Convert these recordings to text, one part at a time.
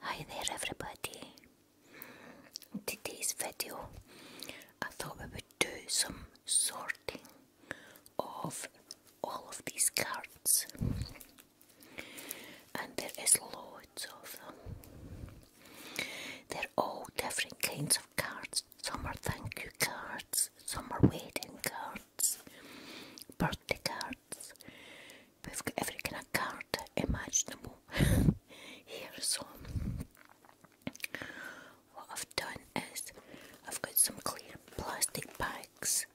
Hi there everybody. today's video I thought we would do some sorting of all of these cards and there is loads of them. They're all different kinds of cards some are thank you cards, some are wedding cards, birthday cards. We've got every kind of card imaginable here. So, what I've done is I've got some clear plastic bags,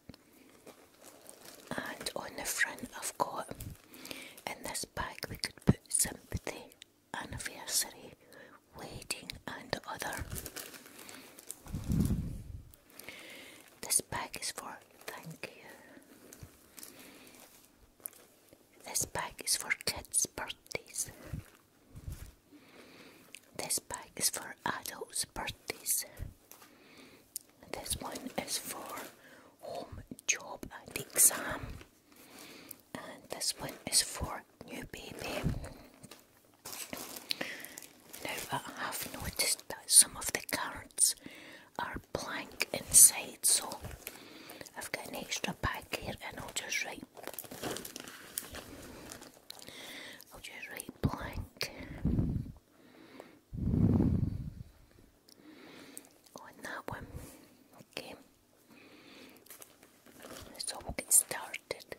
and on the front, I've got in this bag we could put sympathy anniversary wedding and other this bag is for thank you this bag is for kids birthdays this bag is for adults birthdays this one is for home job and exam and this one is for new baby. Now I have noticed that some of the cards are blank inside, so I've got an extra bag here, and I'll just write. I'll just write blank on that one. Okay. So we get started.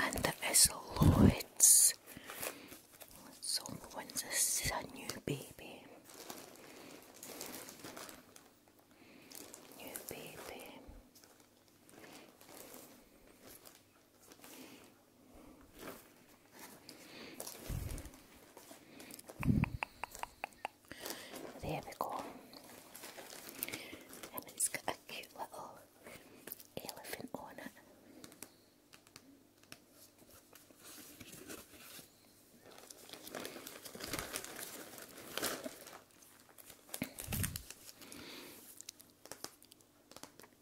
And the Lloyd's. So when's this is a new baby? New baby. There we go. And it's got a cute little elephant on it.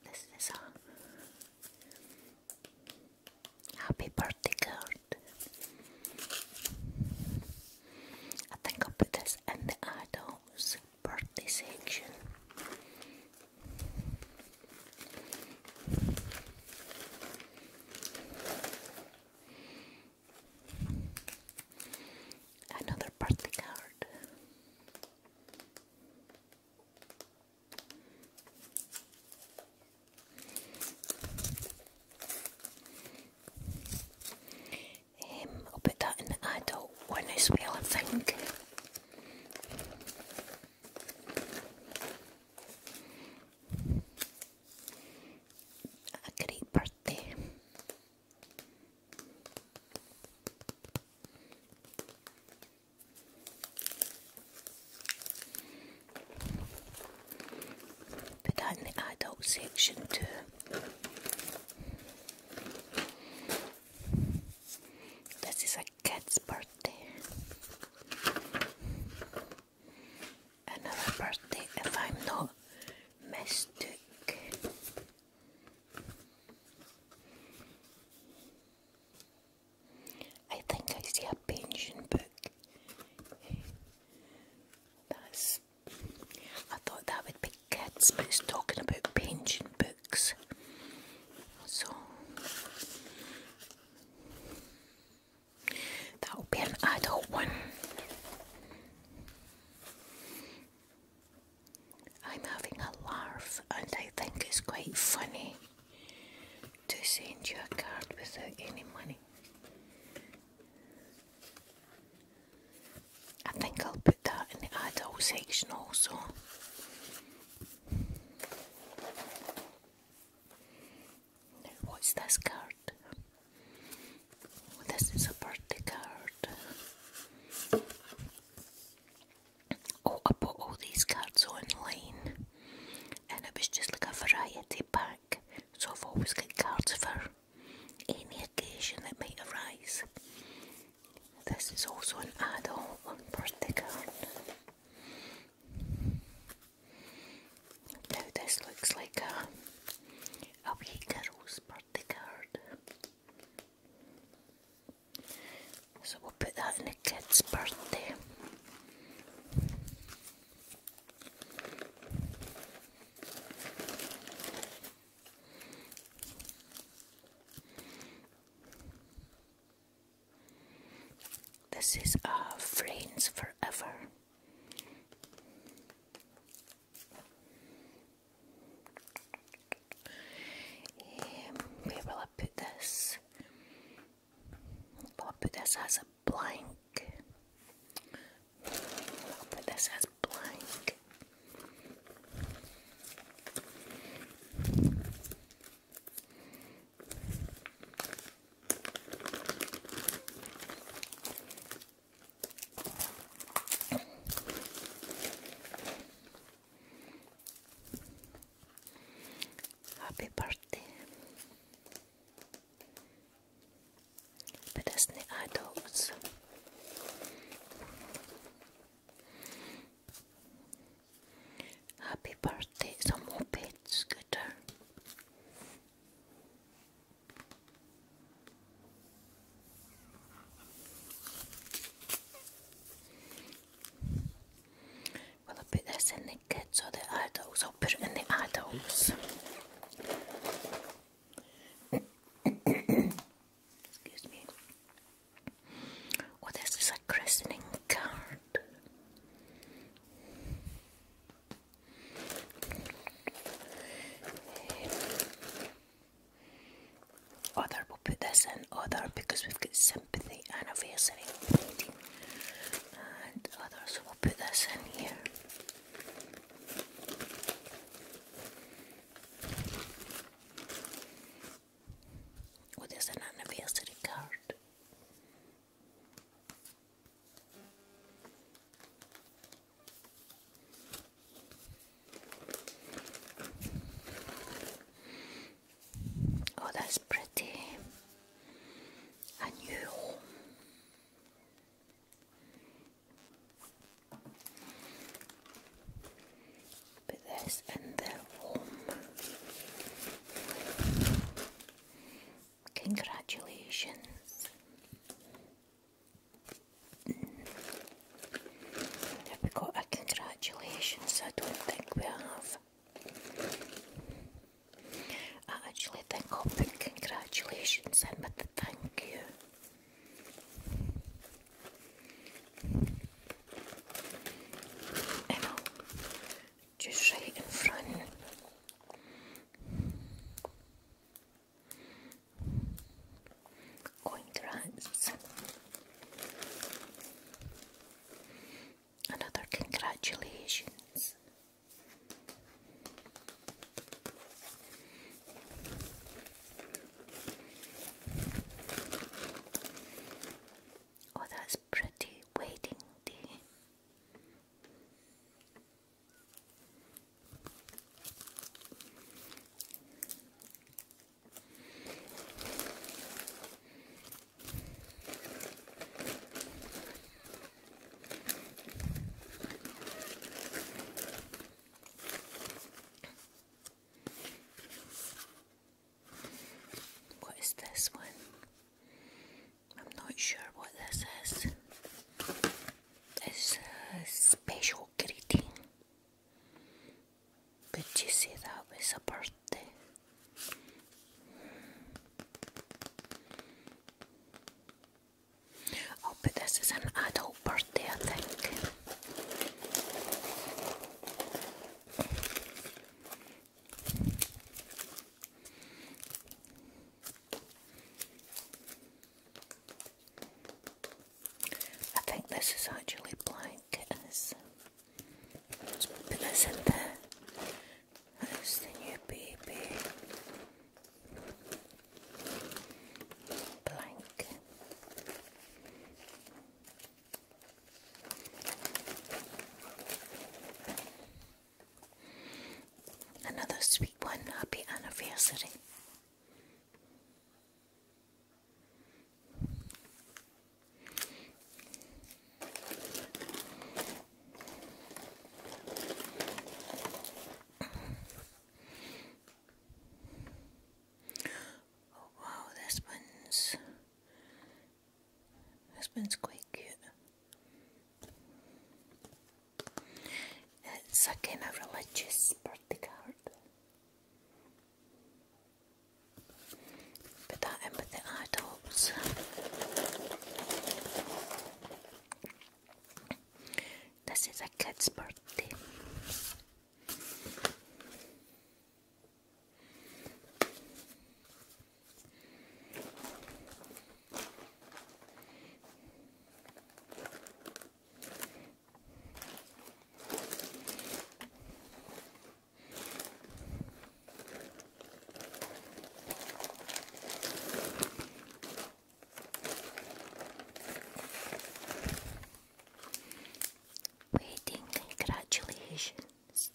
This is a happy birthday card. I think I'll put this in the adults birthday section. Another birthday card. I'll put that in the adult one as well, I think. A great birthday. Put that in the adult section too. This is a cat's birthday. Another birthday if I'm not mistook. I think I see a pension book. That's I thought that would be kids, but it's talking about pension books. So that would be an adult one. I'm having a laugh, and I think it's quite funny to send you a card without any money. I think I'll put that in the adult section also. what's this card? This is a birthday card. Oh, I bought all these cards online and it was just like a variety pack, so I've always got cards for any occasion that may arise. This is also an adult birthday card. Now this looks like a, a wee girl's birthday card. So we'll put that in the kid's birthday. This is our friends forever. Um, where will I put this? Will put this as a blank. this as blank. Happy birthday but as the adults. Happy birthday, some scooter. Well, put this in the kids or the adults put it in the adults. Excuse me. Oh, this is a christening card. Other, we'll put this in other because we've got sympathy anniversary meeting and other, we'll put this in here. What is det är en anniversary card. Oh, that's pretty. A new home. But this and they're warm. Congratulations. Mm. Have we got a congratulations? I don't think we have. I uh, actually think I'll put congratulations in with the thank you. And just right in front. Congrats. Another congratulations. Oh, that's pretty waiting day. What is this one? I'm not sure what this is. It's special greeting. Did you see that was a birthday? Oh, but this is an adult birthday, I think. I think this is actually blank. is. Let's put this in the that's the new baby. Blank. Another sweet one. Happy anniversary. Oh, wow, this one's this one's quite cute. It's again a religious birthday card. Put that in with the adults. This is a cat's birthday. Waiting, congratulations.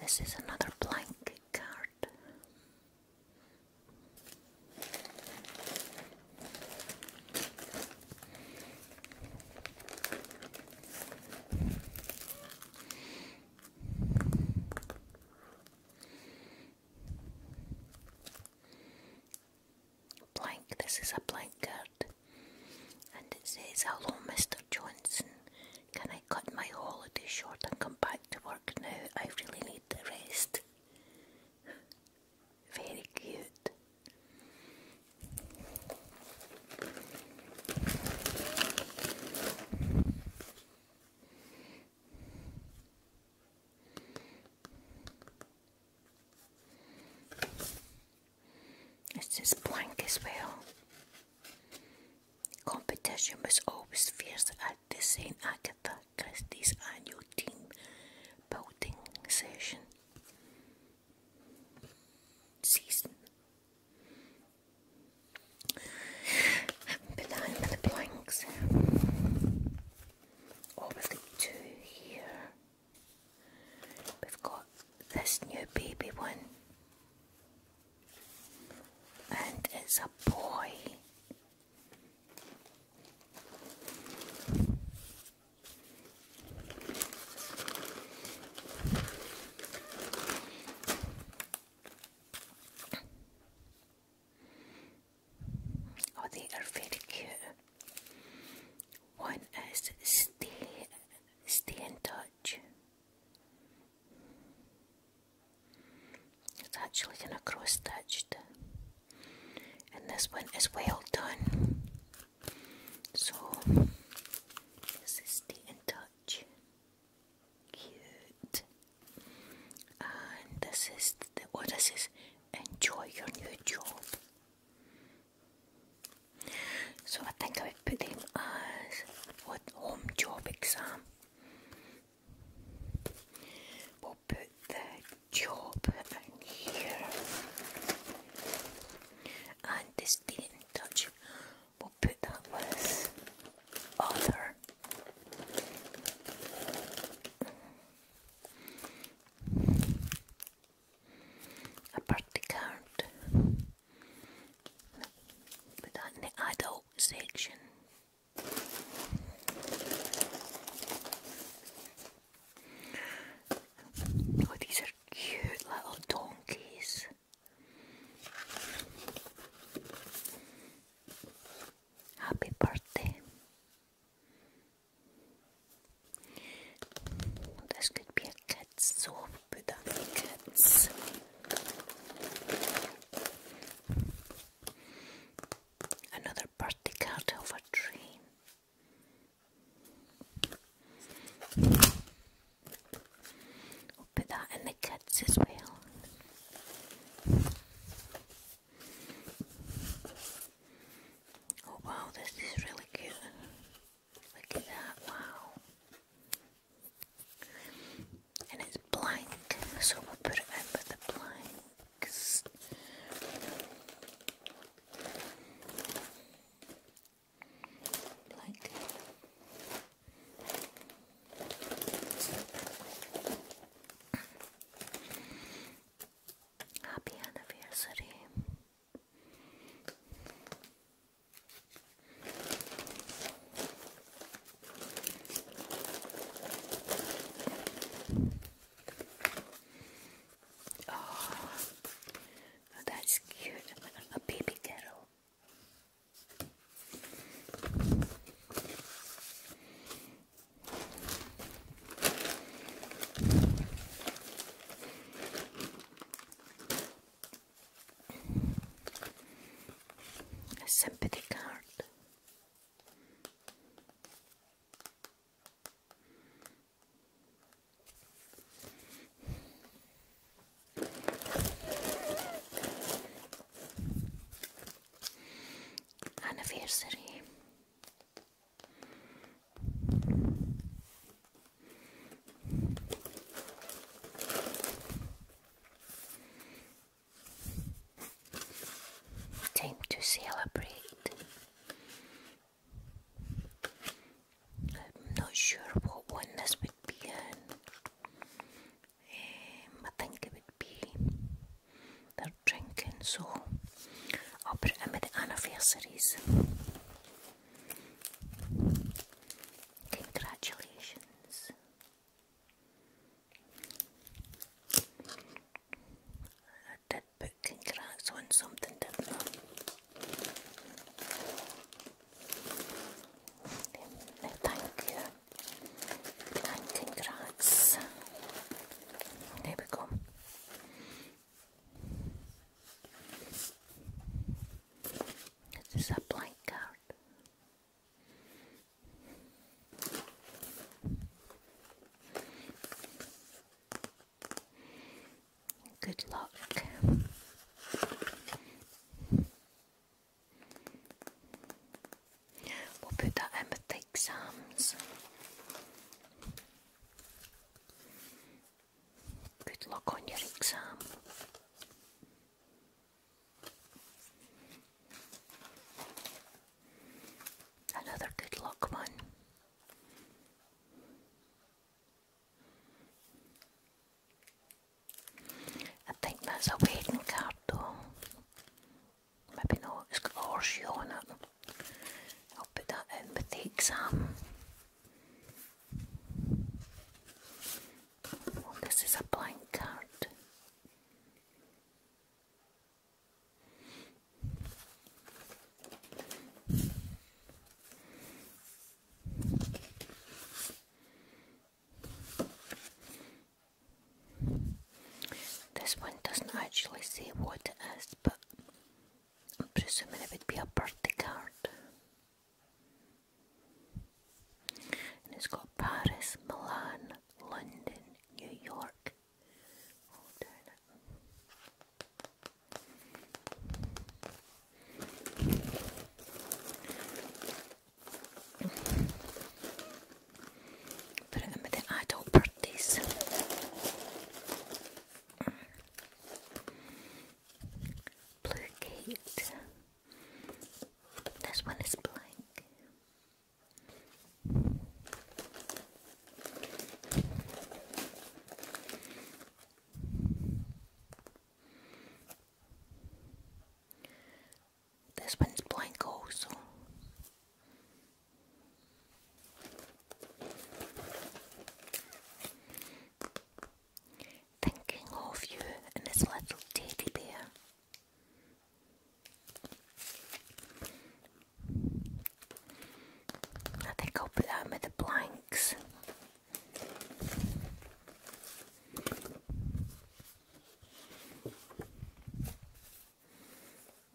This is another blank card. Blank, this is a blank card, and it says, Hello, Mr. Johnson. Can I cut my holiday short and come back to work now? I really need the rest. Very cute. It's just blank as well. Competition was always fierce at the St Agatha Christie's annual team building session season. Banana with the blanks. Or two here. We've got this new baby one and it's a boy. Oh, they are very cute. One is stay, stay in touch. It's actually gonna cross-stitched uh, and this one is well done. So this is Stay in Touch. Cute. And this is the oh this is enjoy your new job. So I think I've put them as what home job exam. We'll put the job here and the stay in touch. We'll put that with other. A the card. Put in the adult section. Oh, these are cute little donkeys. Happy birthday. This could be a kid's sofa put down the cats. Another party card of a dream. We'll put that in the cats as well. Oh wow, this is really cute. Look at that, wow and it's blank, so we put it in the blanks. Happy anniversary. Oh, that's cute. A baby kettle a sympathy card. Anniversary. Time to celebrate. I'm not sure what one this would be in. Um, I think it would be their drinking, so I'll put it the anniversaries. Congratulations. I did put congrats on something, did No, thank you. And congrats. There we go. This is a blank Good luck. We'll put that in with the exams. Good luck on your exam. Another good luck one. I think that's a wedding card though. Maybe not, it's got horseshoe on it. I'll put that in with the exam. Oh, this is a blank card. This one doesn't actually say what it is, but I'm presuming it would be a birthday card. And it's got Paris, Milan, London, New York. Put oh, it in the adult birthdays. Blue Kate this one is blank. This one's blank also thinking of you and his little teddy bear. I think I'll put that with the blanks.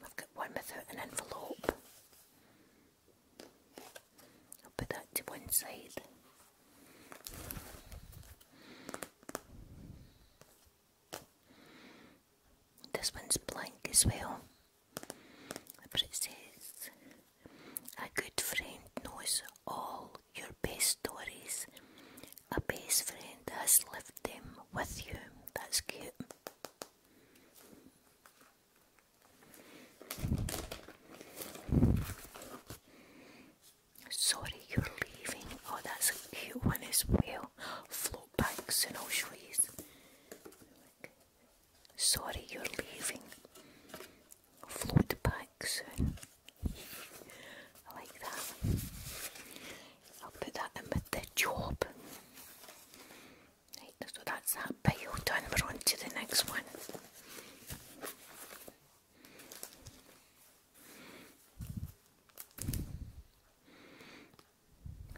I've got one without an envelope. I'll put that to one side. This one's blank as well, but it says, A good friend knows all your best stories. A best friend has left them with you. That's cute. Sorry, you're leaving. Oh, that's a cute one as well. Float banks, and I'll Sorry, you're leaving. Float back soon. I like that. I'll put that in with the job. Right, so that's that pile done. We're on to the next one.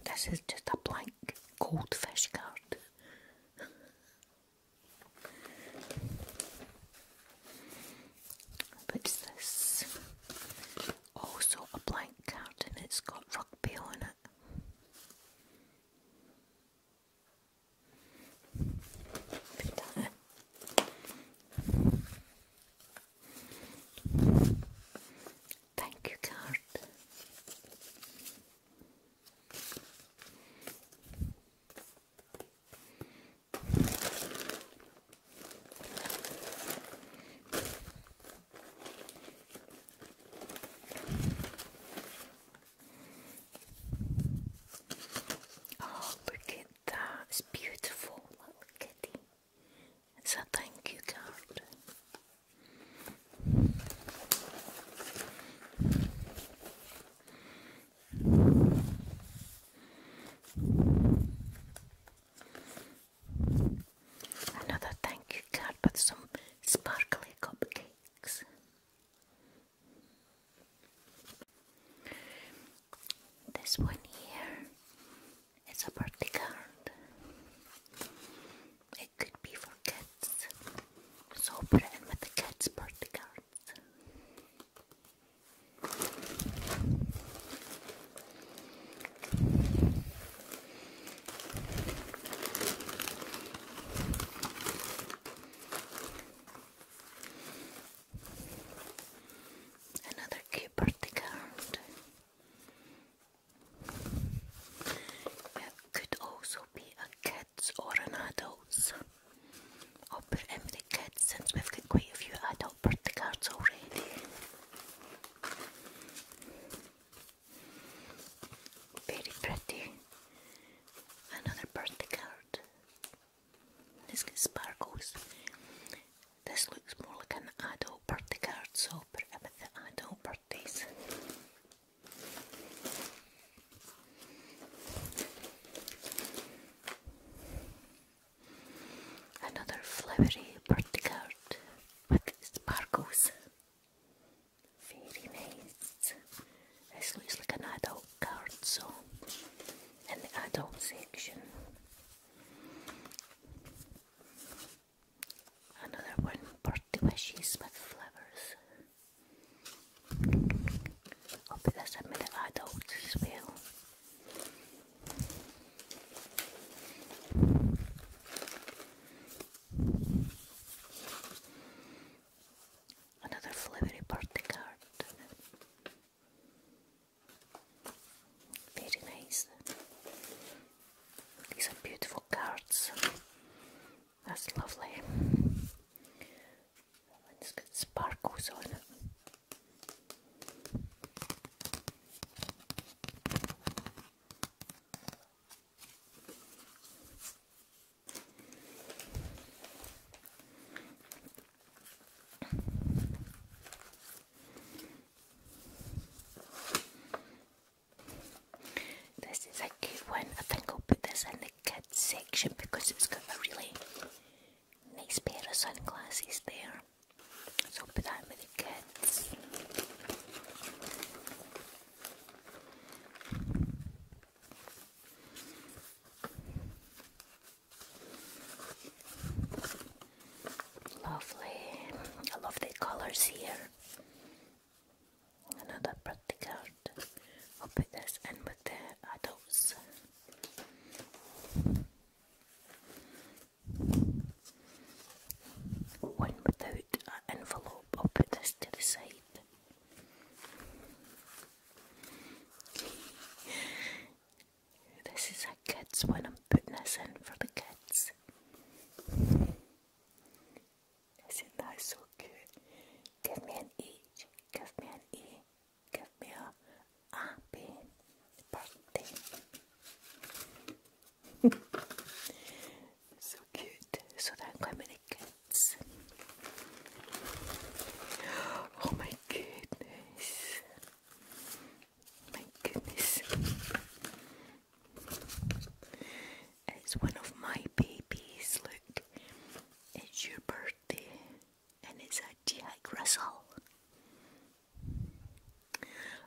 This is just a blank goldfish card. What's this? Also a blank card and it's got rugby on it. Thank you card. Oh, look at that. It's beautiful. Little kitty. It's a thank you card. Another thank you card with some sparkly cupcakes. This one here is a birthday card. It could be for kids. So put it in with the kids' birthday cards. Another keyboard card. could also be a kids or an adults. I'll put in the kids since we've got quite a few adult birthday cards already. Very pretty. Another birthday card. This got sparkles. This looks more like an adult birthday card, so i put it with the adult birthdays. Another flowery birthday card with sparkles. Very nice. This looks like an adult card, so in adult section. Another one, birthday wishes with flowers. I'll put this in with the adults as well. Another flippery party card. Very nice. These are beautiful cards. That's lovely. Let's get sparkles on it. This is a cute one. I think I'll put this in the kids section because it's got a really nice pair of sunglasses there. So put that with the kids. Lovely. I love the colors here. Another pretty card. i this in with the adults. One without an envelope. i this to the side this is a kids one. I'm putting this in for the kids. Isn't so cute? Give me an H. Give me an E. Give me a so cute. So that I'm going to Oh my goodness. My goodness. It's one of my babies. Look, it's your birthday, and it's a Jack Russell.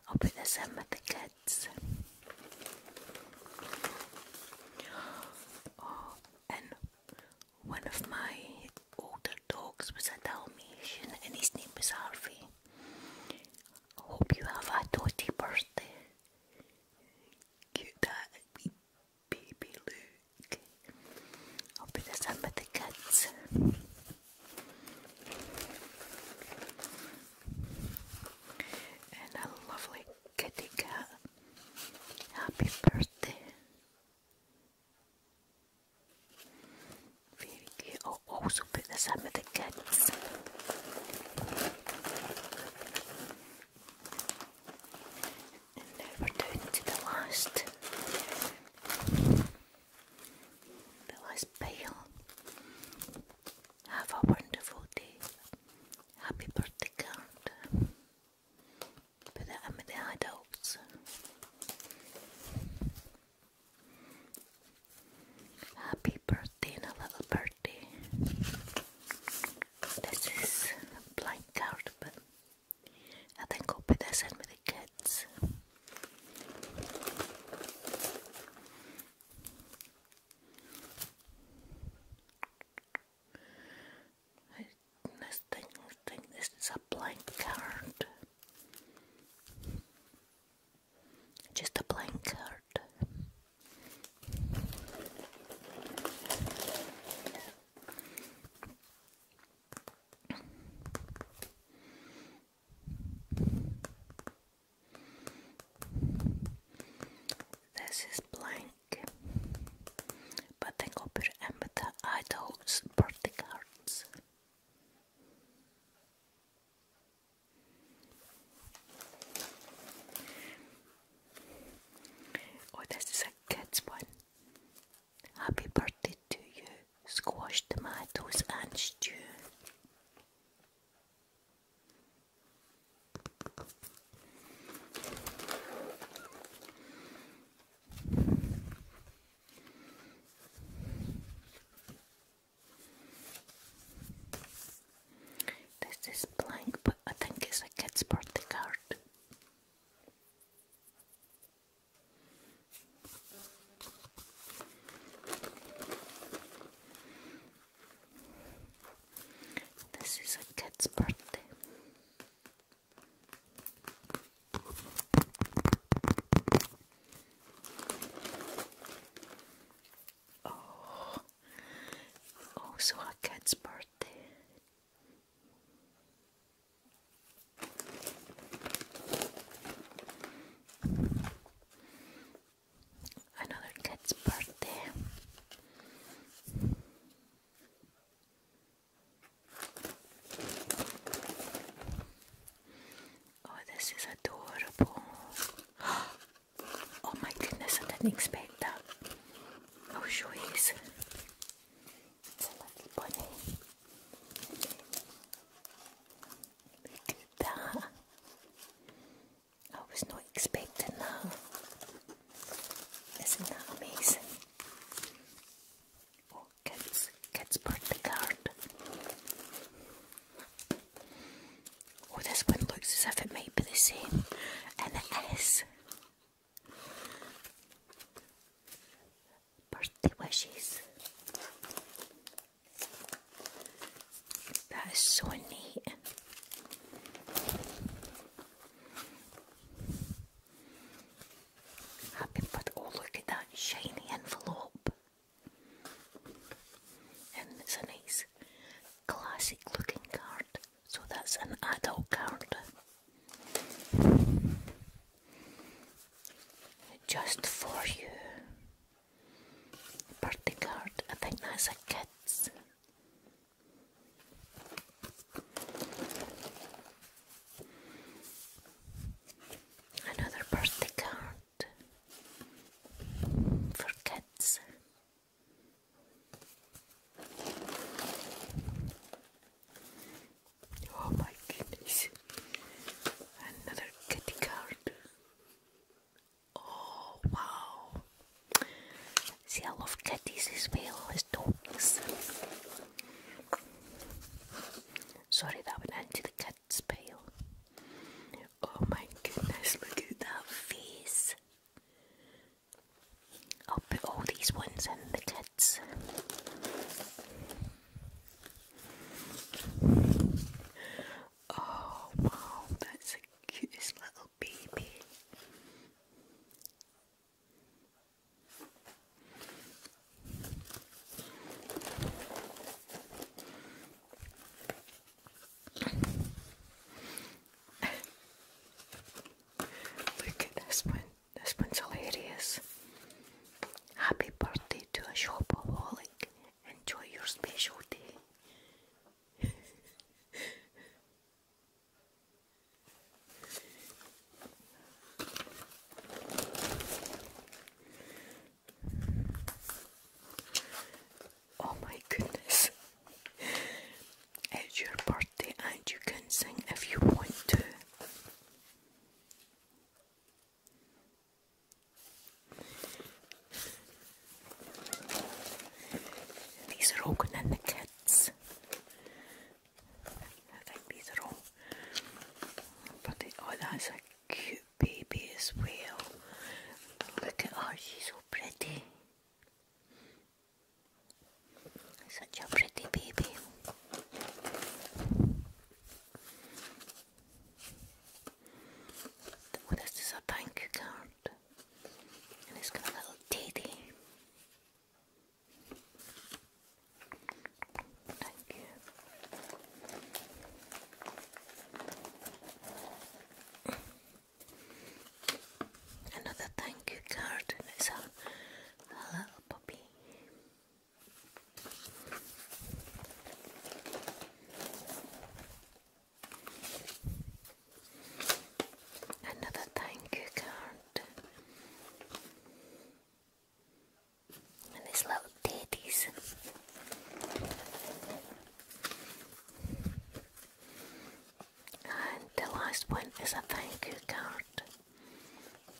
I'll put this in with the kids. Oh, and one of my older dogs was a Dalmatian and his name was Harvey. Hope you have a dotty birthday. Cute that baby Luke. I'll put this in with the kids. And a lovely kitty cat. Happy birthday. Very will also put this in with the kids. And now we're down to the last the last pile. Have a wonderful day. Happy birthday card. But that, I mean, adults. Happy birthday and little birthday. This is blank card, but I think I'll put this in with the kids. I, this this is a blank card. Just a blank card. This is blank pink but den går ämnet Idaho's birthday cards. Oh, this is a kids one. Happy birthday to you, squash tomatoes and stew. This is blank, but I think it's a kid's birthday card. This is a cat's birthday. Oh, also oh, a cat's birthday. Another cat's birthday. Oh, this is adorable. Oh my goodness, I didn't expect that. I'll show you. It's a lovely bunny. Look at that. I was not expecting that. Isn't that amazing? Oh, kids, kids bird card. Oh, this one looks as if it might be the same, and it is. Birthday wishes. That is so neat. Happy but oh look at that shiny envelope. And it's a nice classic looking card. So that's an adult card. Just for you. Birthday card. I think that's a kid's. Another birthday card for kids. Oh my goodness! Another kitty card. Oh wow! See, I love kitties as well as dogs. Sorry, that went into the cat's pile. Oh my goodness, look at that face! I'll put all these ones in the kids. Oh wow, that's the cutest little baby. Look at this one. This one's hilarious. Happy birthday to a shopaholic. Enjoy your special day. Oh my goodness. It's your birthday and you can sing if you want to. These are Hogan and the kids. I think these are all. oh, that's a cute baby as well. Look at her, she's so pretty. Such a pretty baby. Oh, this a thank you card. And he's got a little titty. Thank you. Another thank you card. It's a little puppy. Another thank you card. And these little teddies. And the last one is a thank you card.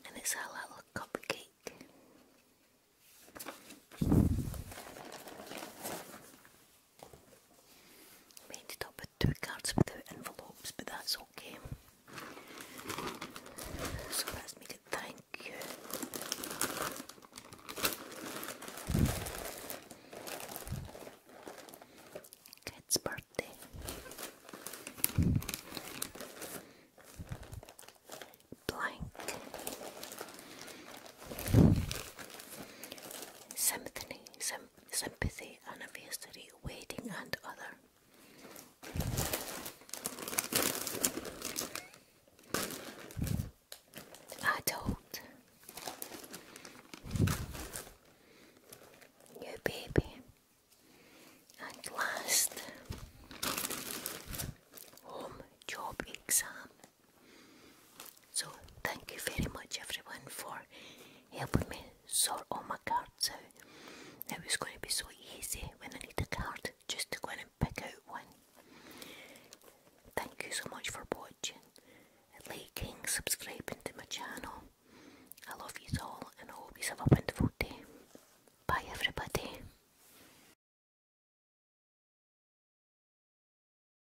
And it's a little cupcake. We up with two cards without envelopes, but that's okay. So let's thank you. Kid's birthday. Blank. Sympathy, sympathy and adversity, waiting and other. Adult, new baby, and last home job exam. So thank you very much everyone for helping me sort all my cards out. It was going to be so easy when I need a card just to go and pick out one. Thank you so much for watching, liking, subscribing to my channel. I love you all and hope you have a wonderful day. Bye everybody.